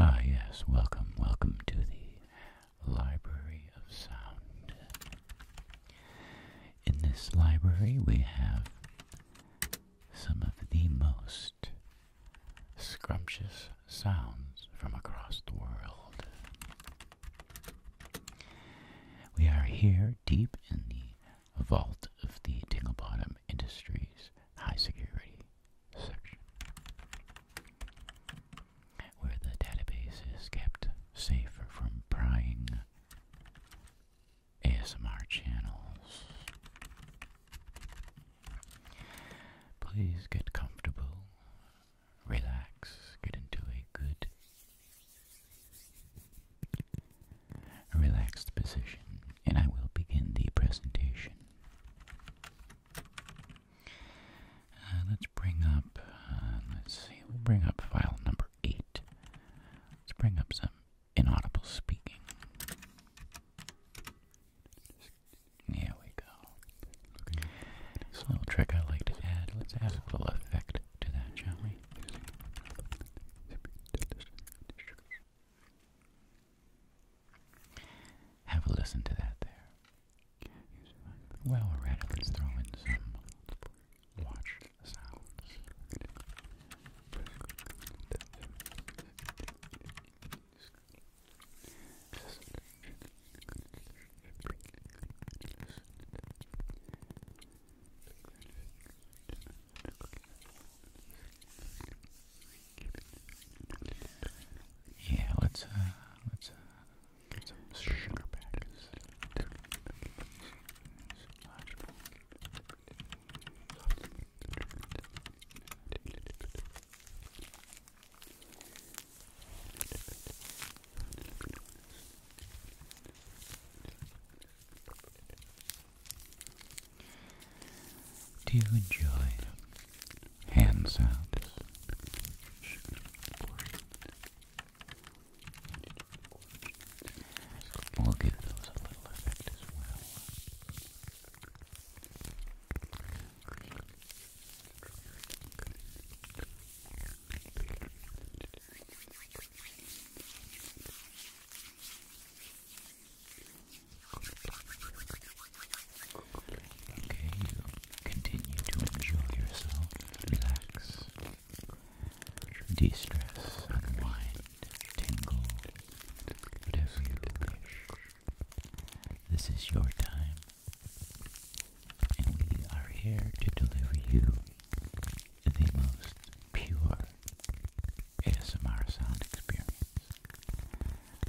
Ah, yes, welcome, welcome to the Library of Sound. In this library, we have some of the most scrumptious sounds from across the world. We are here deep in the vault of the Tingle Bottom Industries High Security section, where the database is kept safer from prying ASMR channels. Please get comfortable relax, get into a good, relaxed position, and I will begin the presentation. Uh, let's bring up, uh, let's see, we'll bring up file number 8. Let's bring up some inaudible speaking. Here we go. It's a little trick I like to add. Let's add a little effect to that, shall we? Have a listen to that there. Well, we let's throw in some watch sounds. Yeah, let's uh, let's uh, get some sugar patties. Do you enjoy hand sounds? We'll give those a little effect as well. Okay, continue to enjoy yourself, relax, de stress, unwind, tingle, whatever you wish. This is your time and we are here to deliver you the most pure ASMR experience.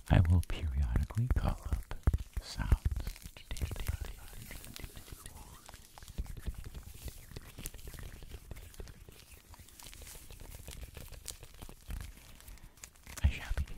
I will periodically call up sounds. I shall begin.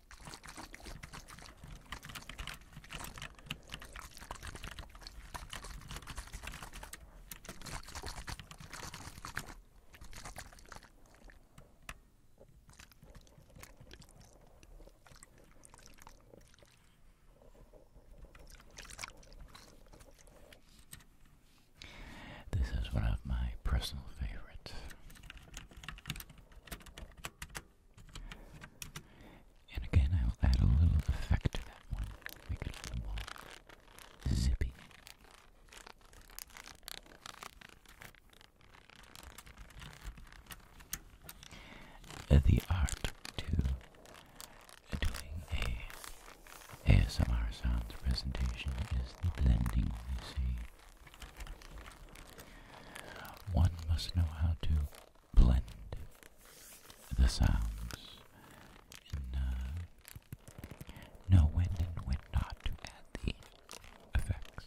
This is one of my personal favorites. And again, I will add a little effect to that one. Make it a little more zippy. Uh, the art to doing a ASMR sounds presentation is the blending, you see. One must know how to blend the sounds know uh, when and when not to add the effects.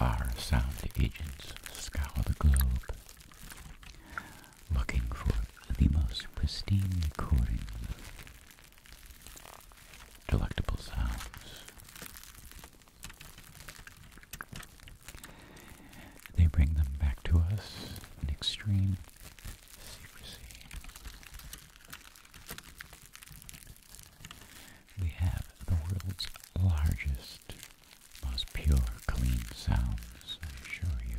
Our sound agents scour the globe looking for the most pristine recordings, delectable sounds, they bring them back to us in extreme secrecy. We have the world's largest, most pure, clean sounds, I assure you.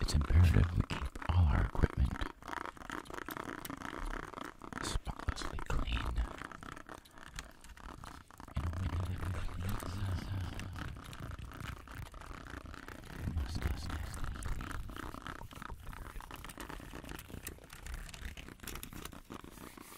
It's imperative we keep all our equipment spotlessly clean. And when it cleans up, must us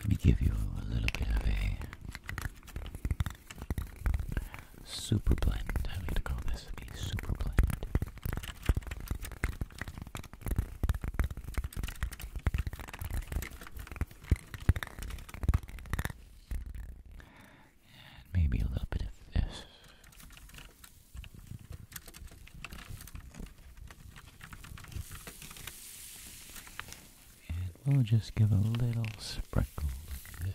Let me give you a little bit of a Super blend. I'm to call this a super blend. And maybe a little bit of this. And we'll just give a little sprinkle of this.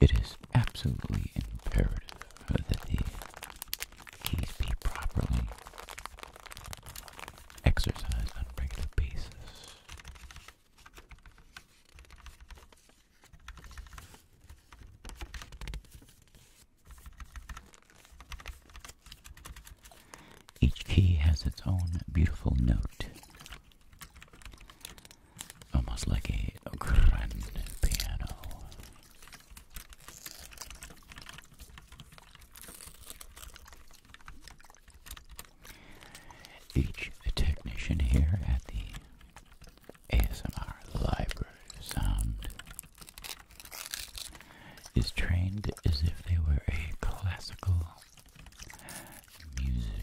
It is absolutely imperative that the keys be properly exercised on a regular basis. Each key has its own beautiful note almost like a grand piano. Each technician here at the ASMR Library Sound is trained as if they were a classical musician.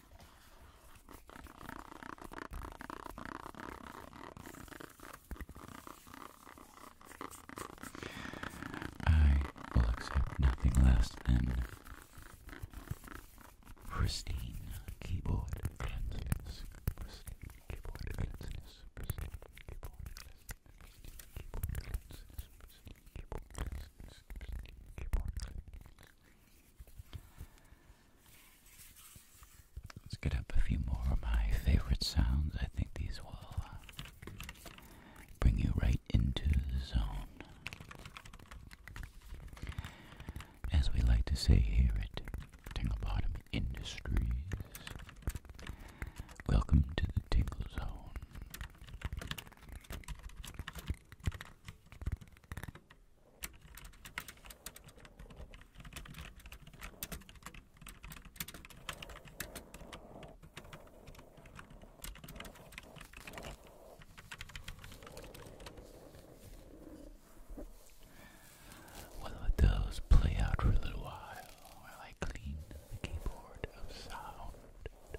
I will accept nothing less than pristine keyboard Let's get up a few more of my favorite sounds. I think these will uh, bring you right into the zone. As we like to say here at Tingle Bottom Industries, welcome to the Tingle Zone. We'll let those play out for a little while while I clean the keyboard of sound.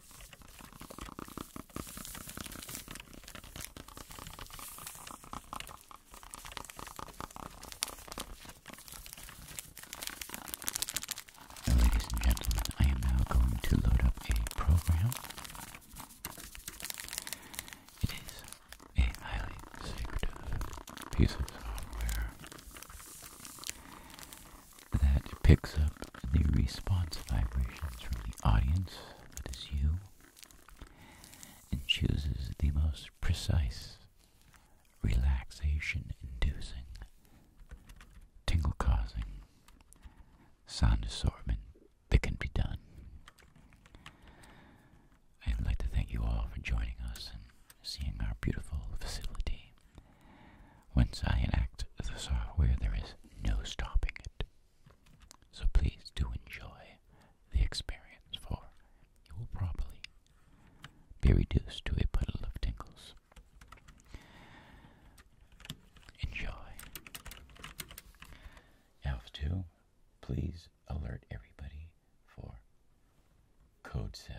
ladies and gentlemen, I am now going to load up a program. It is a highly secretive piece of software that picks up the response vibrations from the audience, that is you, and chooses the most precise, relaxation-inducing, tingle-causing sound assortment that can be done. I'd like to thank you all for joining us and seeing our beautiful facility. Once I enact the software, there is no stopping it. So please do enjoy the experience, for you will probably be reduced to a puddle of tingles. Enjoy. Alf 2, please alert everybody for Code 7